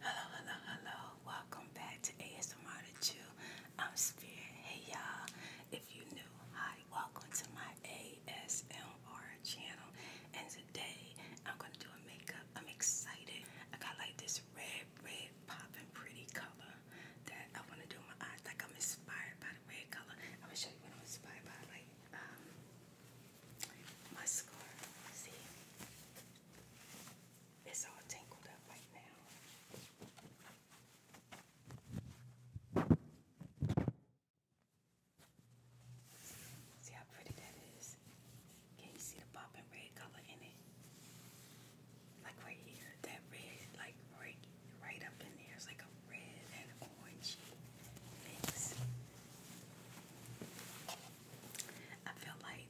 Hello, hello, hello. Welcome back to ASMR to Chew. I'm Spirit. Hey, y'all. If you're new, hi. Welcome to my ASMR channel. And today, I'm going to do a makeup. I'm excited. I got like this red, red, popping pretty color that I want to do my eyes. Like, I'm inspired by the red color. I'm going to show you what I'm inspired by. Like, um, my scarf. See? It's all tangled up right now. See how pretty that is? Can you see the bumping red color in it? Like right here, that red, like right, right up in there. It's like a red and orange mix. I feel like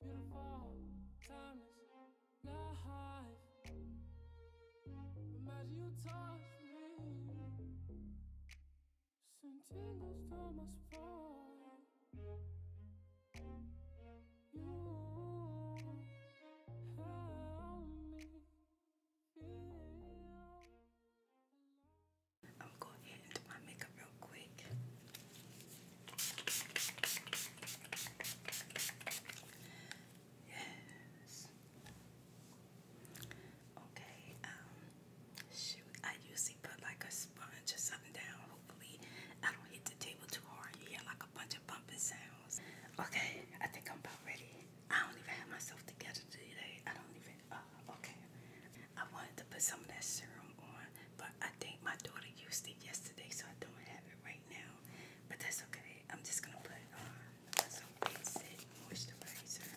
Beautiful, timeless, life. Imagine you touch me. Send tingles down You help me feel alive. I'm going to go ahead and do my makeup real quick. Yes. Okay, um, shoot, I usually put like a sponge or something down. Hopefully, I don't hit the table too hard. You hear like a bunch of bumping sounds. Okay, I think I'm about ready. I don't even have myself together today. I don't even, uh, okay. I wanted to put some of that serum on, but I think my daughter used it yesterday, so I don't have it right now. But that's okay. I'm just gonna put it uh, on some big moisturizer.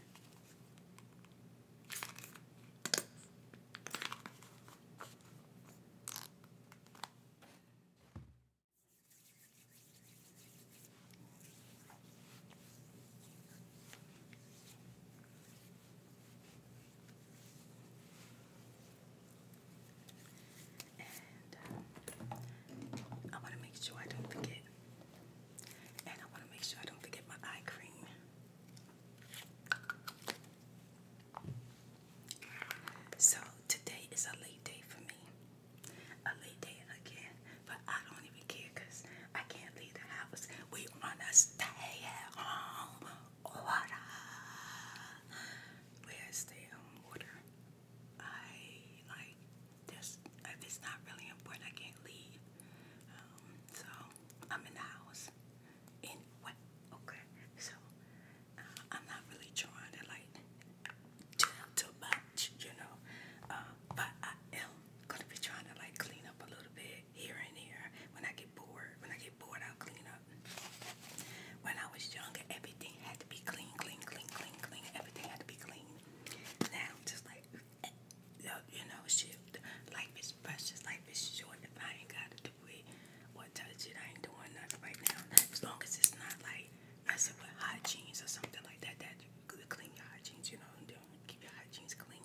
Uh, I want to make sure I don't forget. And I want to make sure I don't forget my eye cream. So today is a late day for me. A late day again. But I don't even care I can't leave the house. We want to stay at home water. Where's the um, I like this. it's not really important, I can't leave. Um, so I'm in the house. In what? Okay. So uh, I'm not really trying to like too much, you know. Uh, but I am gonna be trying to like clean up a little bit here and there. When I get bored, when I get bored, I'll clean up. When I was younger, everything had to be clean, clean, clean, clean, clean. Everything had to be clean. Now, just like, uh, uh, you know, shit, life is precious, life is short. If I ain't got to do it or touch it, I ain't doing nothing right now. As long as it's not like messing with hygiene or something like that, that you could clean your hygiene, you know, keep your hygiene clean.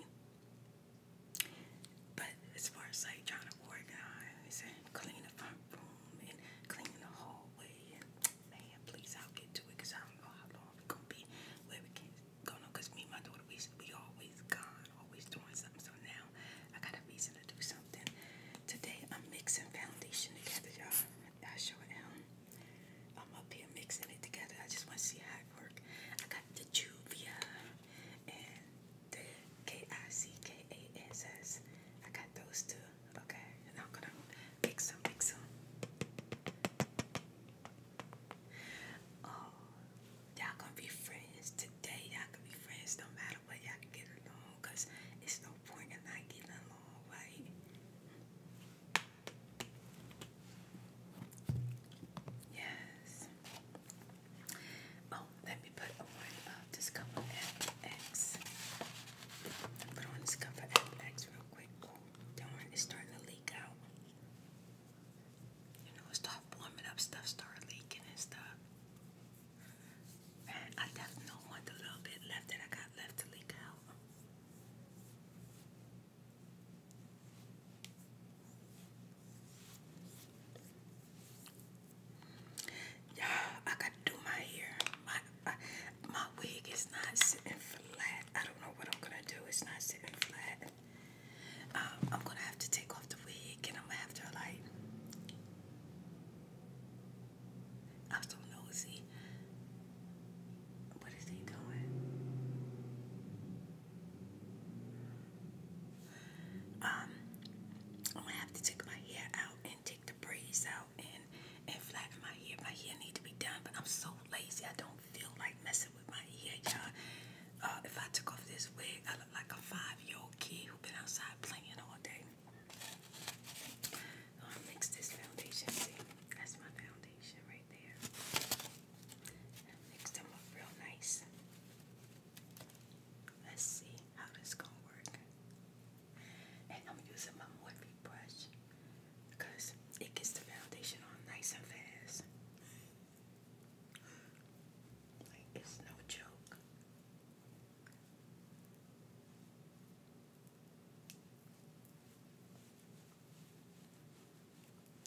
But as far as like trying to organize and clean the front room and clean the hallway, and man, please, I'll get to it I don't know how long we gonna be where we can go. me my daughter, we, we always gone, always doing something. So now I got a reason to do something. Today I'm mixing foundation together, y'all. I sure am. I'm up here mixing it together. I just want to see how it works. I got Juvia and the K-I-C-K-A-S-S. I got those two. Okay, and I'm gonna mix them, mix them. Oh, y'all gonna be friends today. Y'all gonna be friends no matter what. Y'all can get along, cause it's no point in not getting along, right? Yes. Oh, let me put on uh, Discover X. Put on Discover X real quick. Oh, darn, it's starting to leak out. You know, it start warming up, stuff start leaking and stuff. And I definitely want the little bit left that I got left to leak out you I gotta do my hair. My, I, my wig is not sitting flat. I don't know what I'm gonna do. It's not sitting flat. Um, I'm gonna have to take off the wig and I'm gonna have to like. I'm so nosy. What is he doing? Um, I'm gonna have to take my hair out and take the braids out and and flatten my hair. My hair need to be done, but I'm so lazy. I don't feel like messing with my hair, y'all. Uh, if I took off this wig, I look like a five-year-old kid who been outside playing all day. I'll oh, mix this foundation. See, that's my foundation right there. Mix them up real nice. Let's see how this gonna work. And I'm using my Morphe brush because it gets the foundation on nice and fast. Like it's no joke.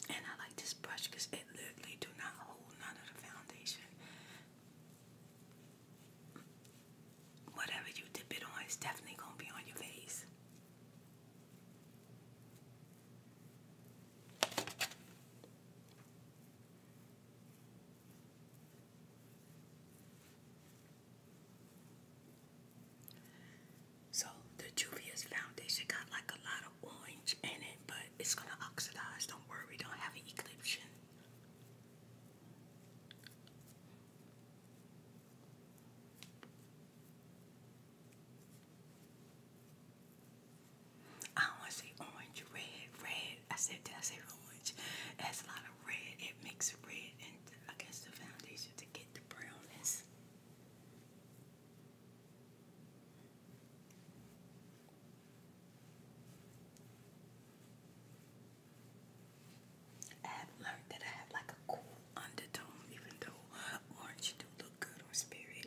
And I like this brush because it literally do not hold none of the foundation. Whatever you dip it on, it's definitely gonna be on your face. So the Juvia's foundation got like a lot of orange in it, but it's gonna oxidize. Don't worry, we don't have an eclipse. I want to say orange, red, red. I said, did say orange? It has a lot of red. It makes red and I guess the foundation to get the brownness. I have learned that I have like a cool undertone, even though orange do look good on spirit.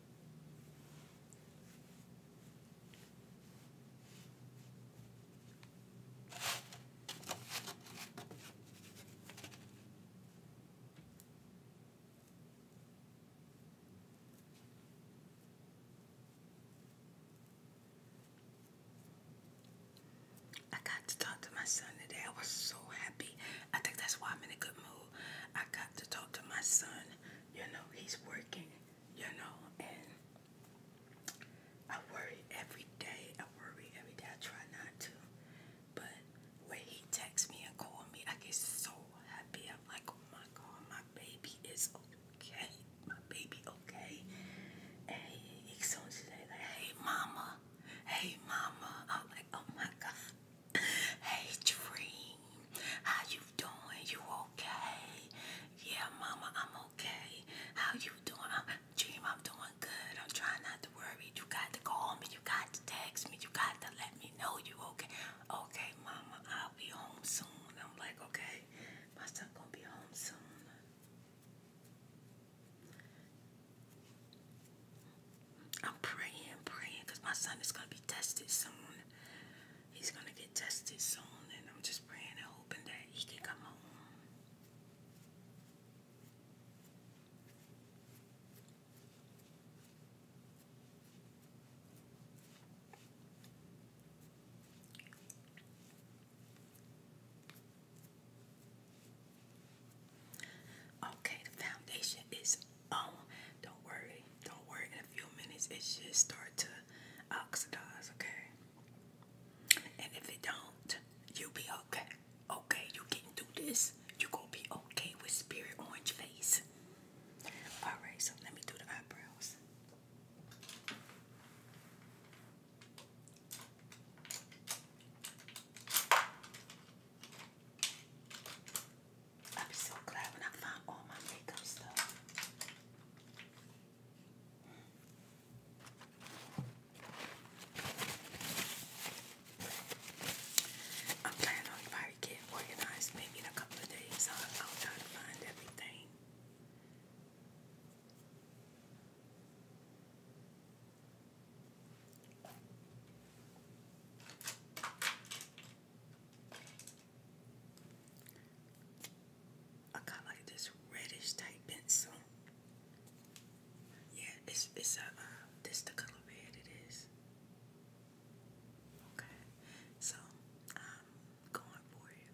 I got to talk to my son today. I was so happy. I think that's why I'm in a good mood. I got to talk to my son. You know, he's working you know, and I worry every day. I worry every day. I try not to. But when he texts me and calls me, I get so happy. I'm like, oh my God, my baby is okay. My baby okay. And he, he soon as like, hey mama, hey mama. I'm like, oh my God. hey dream. How you doing? You okay? Yeah, mama, I'm okay. How you doing? I'm, Dream, I'm doing good. I'm trying not to worry. You got to call me. You got to text me. You got to let me know you okay. Okay, mama, I'll be home soon. I'm like, okay, my son gonna be home soon. I'm praying, praying, my son is going to be tested soon he's gonna get tested soon, and I'm just praying and hoping that he can come home. Okay, the foundation is um, don't worry, don't worry. In a few minutes, it should start to oxidize, okay? And if it don't, you'll be okay. Okay, you getting through this. You gonna be okay with spirit orange face. All right, so let me do the eyebrows. I'll be so glad when I find all my makeup stuff. I'm planning on probably get organized maybe in a couple of days. I'll, i to find everything. I got like this reddish type pencil. Yeah, it's it's a uh, this the color red it is. Okay, so I'm going for it.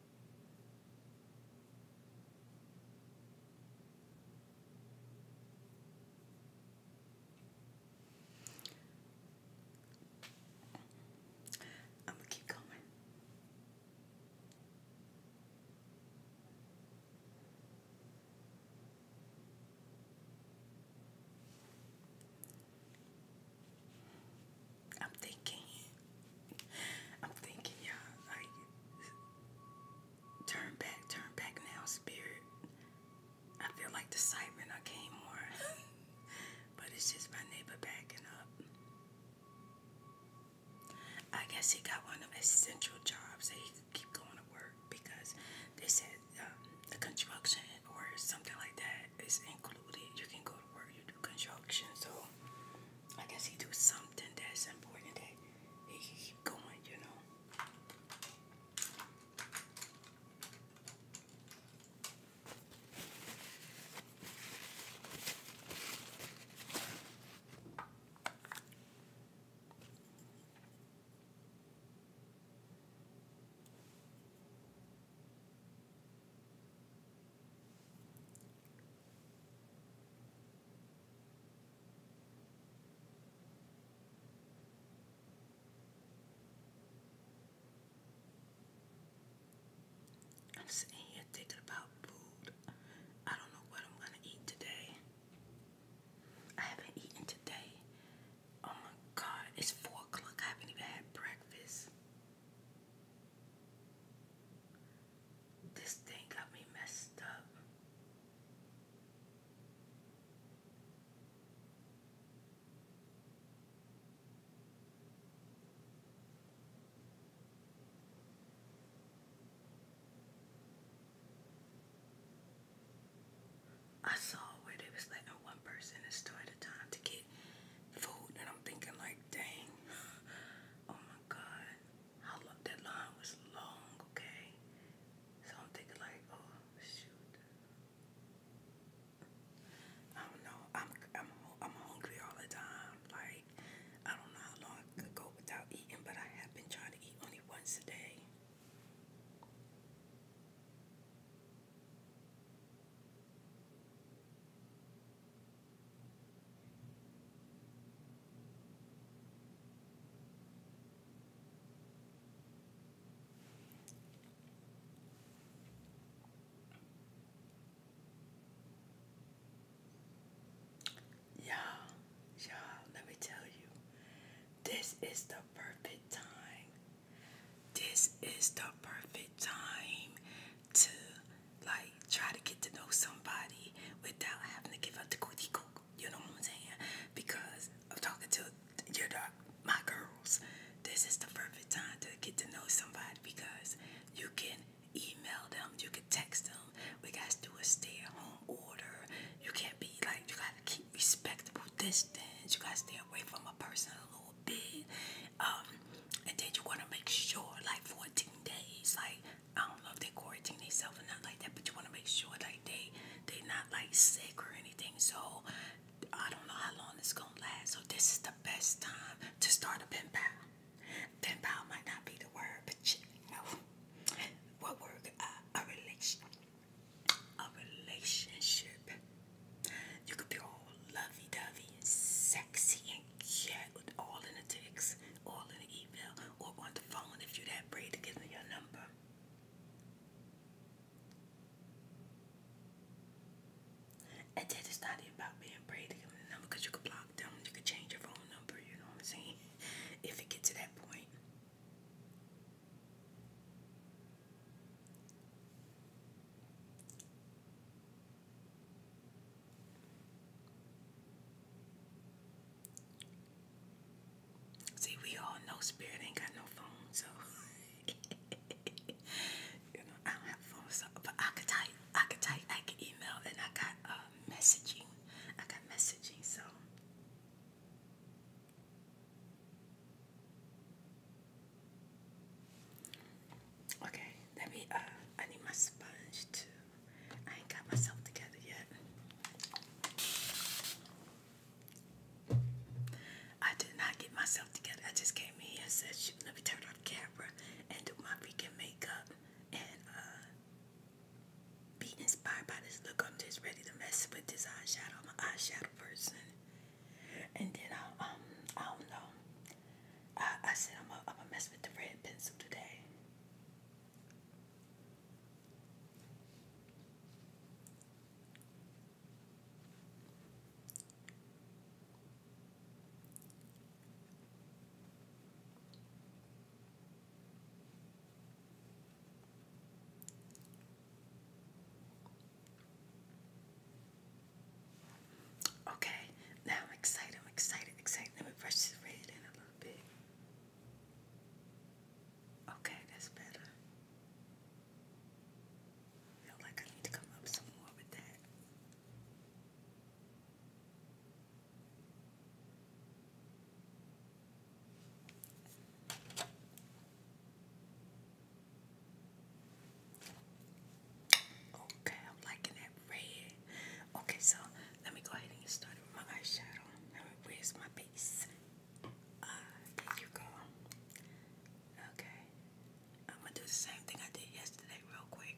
I'm gonna keep going. I'm thinking I'm thinking, y'all, like, turn back, turn back now, spirit. I feel like the siren I came more, but it's just my neighbor backing up. I guess he got one of essential jobs that he could keep going to work because they said um, the construction or something like that is included. You can go to work, you do construction, so I guess he do something that's important that he keep going, you know. I'm sitting here thinking about food. I don't know what I'm gonna eat today. I haven't eaten today. Oh my god, it's four o'clock. I haven't even had breakfast. This thing got me messed up. I saw where they was letting one person in store at a time to get food, and I'm thinking like, dang, oh my god. How long that line was long, okay? So I'm thinking like, oh shoot. I don't know. I'm I'm I'm hungry all the time. Like I don't know how long I could go without eating, but I have been trying to eat only once a day. Y'all, y'all, let me tell you, this is the perfect time. This is the perfect time to like try to get to know somebody without having to give up the cootie cook. You know what I'm saying? Because I'm talking to your dog, my girls. This is the perfect time to get to know somebody because you can email them, you can text them. We gotta do a stay-at-home order. You can't be like you gotta keep respectable distance. You gotta stay away from a person a little bit. Um, and then you wanna make sure, like 14 days, like I don't know if they quarantine themselves or not like that, but you want to make sure like they they are not like sick or anything. So I don't know how long it's gonna last. So this is the best time to start a pen pal. Pen pal might not be the word, but you what word? Uh, a relation, a relationship. You could be all lovey-dovey and sexy and cute with all the dicks all in email or on the phone if you that brave to give me your number. And that is not even about being brave to give me the number because you could block them, you could change your phone number, you know what I'm saying? If it gets to that point. See, we all know Spirit ain't got no phone, so you know I don't have phone, so but I could type, I could type, I could email, and I got uh, messaging. I got messaging, so. Okay, let me, uh, I need my sponge too. I ain't got myself together yet. I did not get myself together. I just came in here and said, shoot, let me turn off the camera and do my freaking makeup and uh, be inspired by this look. I'm just ready to mess with this eyeshadow. I'm an eyeshadow person. And then I, uh, um, I don't know. I, said I'm gonna mess with the red pencil today. Okay, now I'm excited, I'm excited, excited. Let me brush this red in a little. Okay, that's better. feel like I need to come up some more with that. Okay, I'm liking that red. Okay, so let me go ahead and start with my eyeshadow. Now, where's my base? Ah, there you go. Okay. I'm gonna do the same thing I did yesterday, real quick.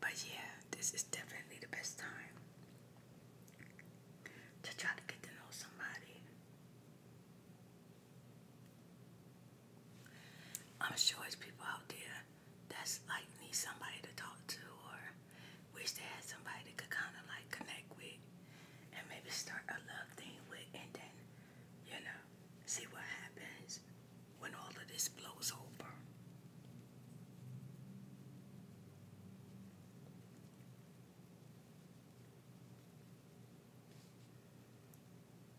But yeah, this is definitely the best time to try to get to know somebody. I'm sure it's people out there that's like need somebody to talk to or wish they had somebody to kind of like connect with and maybe start a love thing with and then, you know, see what happens when all of this blows over.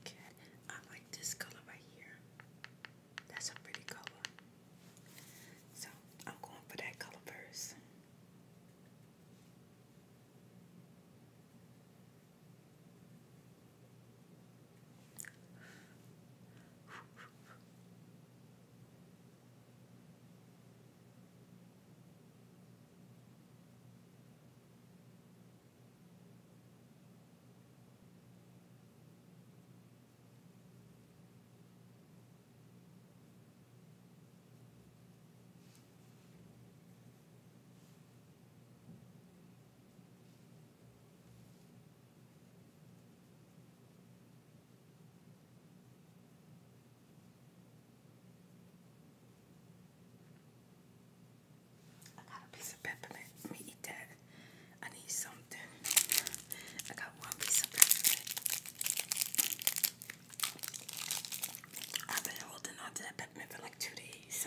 Okay, I like this color right here. That's a pretty color. So I'm going for that color first. I got a piece of peppermint. Let me eat that. I need something. I got one piece of peppermint. I've been holding on to that peppermint for like two days.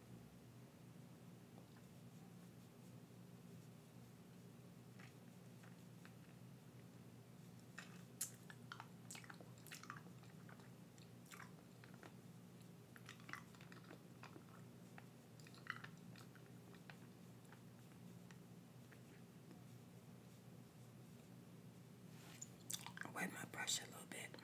Wet my brush a little bit.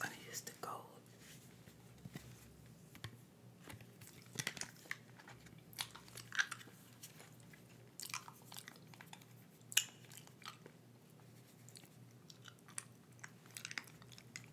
I'm to use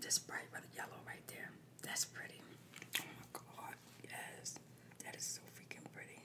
Just bright red, yellow right there. That's pretty. Oh my god, yes. That is so freaking pretty.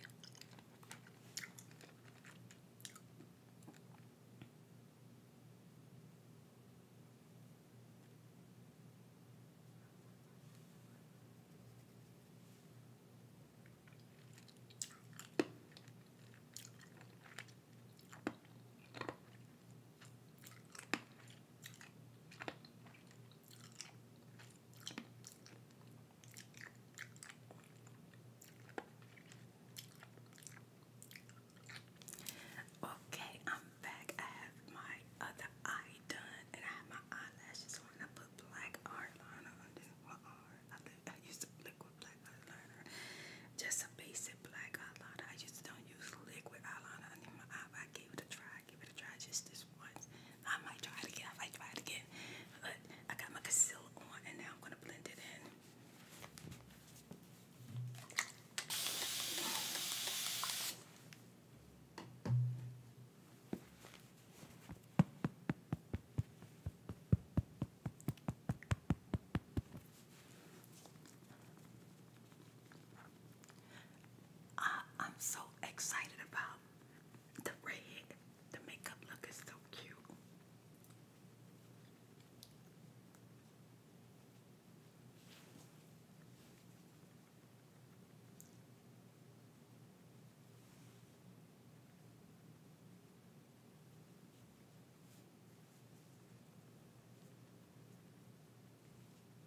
Okay, I'm back. I have my other eye done and I have my eyelashes on. I put black eyeliner on this one I, used liquid black eyeliner. Just a basic black eyeliner. I just don't use liquid eyeliner under my eye, but I gave it a try might give it a try just this once. I might try it again. I might try it again. But I got my concealer on and now I'm going to blend it in. I, am so excited about the red. The makeup look is so cute.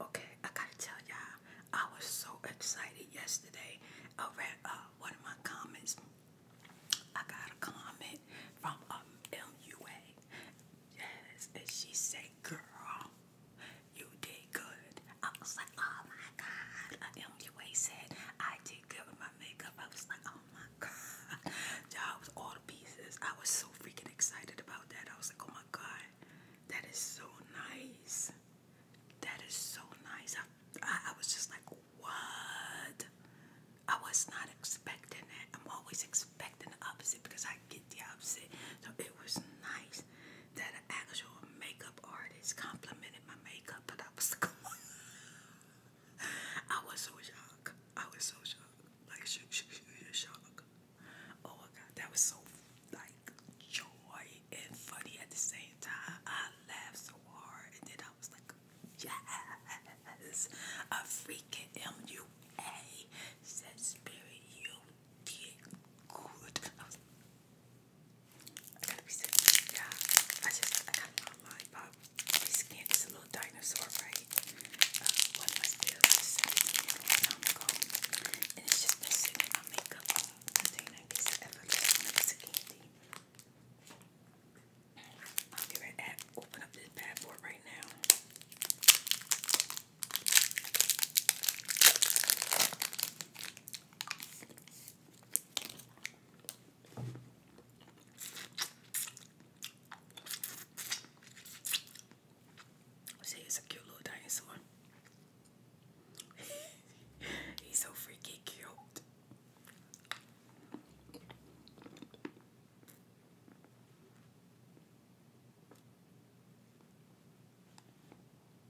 Okay, I gotta tell y'all, I was so excited yesterday. I read uh, one of my comments. I got a comment from um, MUA. Yes, and she said, Girl, you did good. I was like, oh my god. MUA said I did good my makeup. I was like, oh my god. you was all the pieces. I was so freaking excited about that. I was like, oh my god. That is so nice. That is so nice. I, I, I was just like, what? I was not expecting that. I'm always expecting the opposite because I get the opposite. So it was nice that an actual makeup artist artist complimented my makeup, but I was going. I was so shocked. I was so shocked. Like shocked. Oh my god, that was so like joy and funny at the same time. I laughed so hard, and then I was like, yes, a freaking MUA said, Spirit, you did good. I was like, I gotta be serious. Yeah, I just I got my mind pop. We skinned this little dinosaur, right? Uh, one of my bills is sitting a long ago, it's just been sitting in my makeup container. It's ever like it's a candy. I'll get right open up this bad boy right now. See, it's a cute little dinosaur. He's so freaking cute.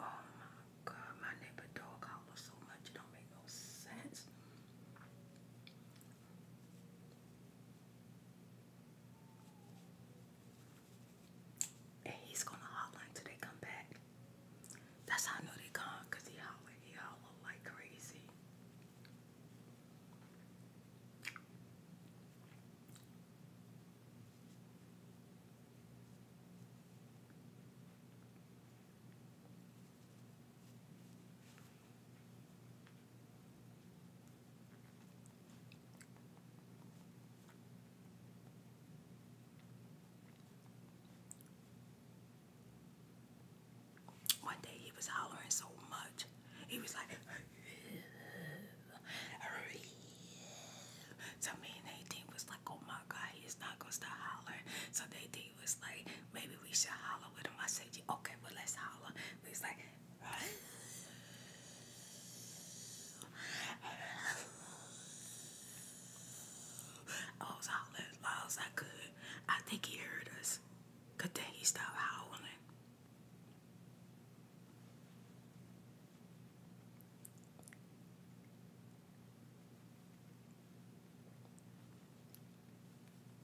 Oh my god, my neighbor dog howls so much it don't make no sense. And he's gonna hotline till they come back. That's how I know they gone, cause he holler, he holler like crazy. One day he was hollering so much, he was like to me, Nadine was like, Oh my god, he not gonna stop hollering. So Nadine was like, maybe we should holler with him. I said, okay, but let's holler. he's like, I was hollering loud as I could. I think he heard us. Cause then he stopped howling.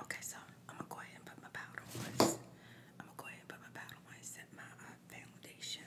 Okay, so I'm gonna go ahead and put my powder on. I'm gonna go ahead and put my powder on and set my uh, foundation.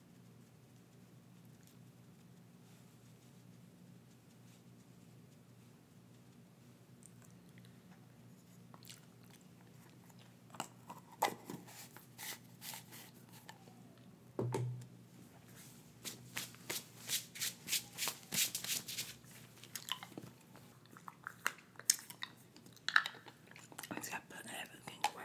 It's got put in everything away.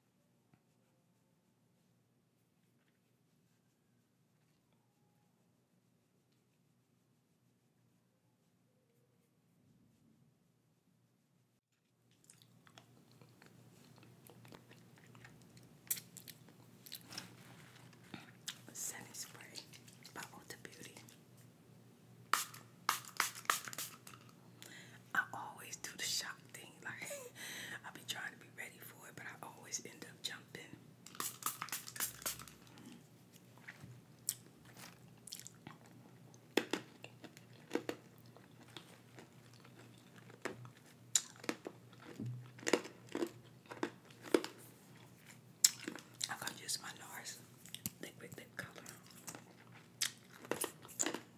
Sunny Spray by Ulta Beauty. I always do the shock thing. Like I'll be trying to be ready for it, but I always end up jumping. I'm gonna use my NARS liquid lip color.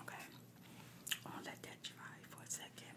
Okay, I'll let that dry for a second.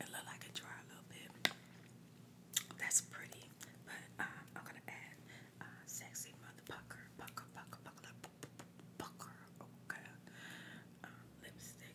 It look like it dry a little bit. That's pretty, but um, I'm gonna add uh, sexy mother pucker, pucker, pucker, pucker, pucker. Um, lipstick.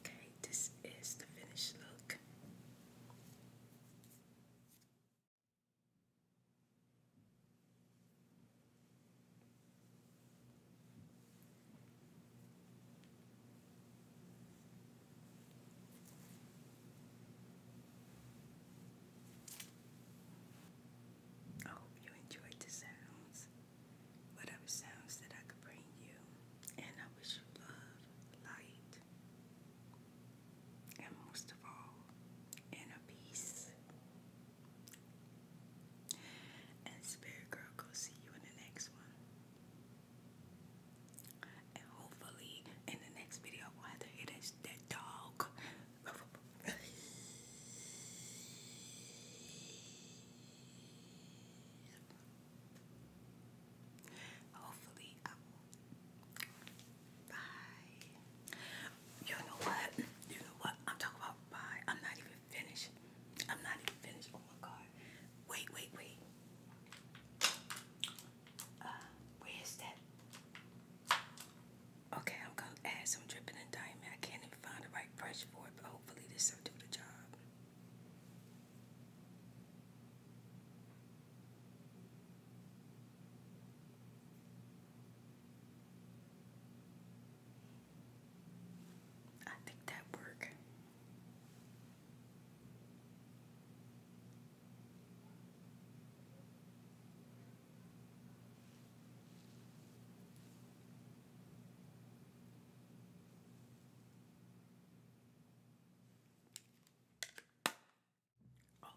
Okay, this is the finished look. I oh, hope you enjoyed the sounds, whatever sounds that I could bring you, and I wish you love, light, and most of all, inner peace. And Spirit Girl, go see you in the next one. And hopefully, in the next video, we'll have to hear that, dog. Hopefully, Bye. You know what? You know what? I'm talking about bye. I'm not even finished. I'm not even finished. Oh my god. Wait, wait, wait. Uh, where is that? Okay, I'm gonna add some dripping and diamond. I can't even find the right brush for it, but hopefully this will do the job. I think that work.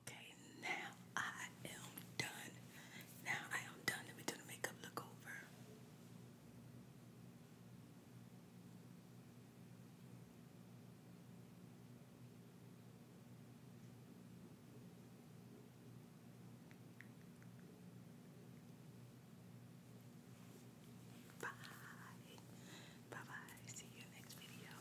Okay, now I am done. Now I am done. Let me do the makeup look over. Bye. Bye bye. See you next video.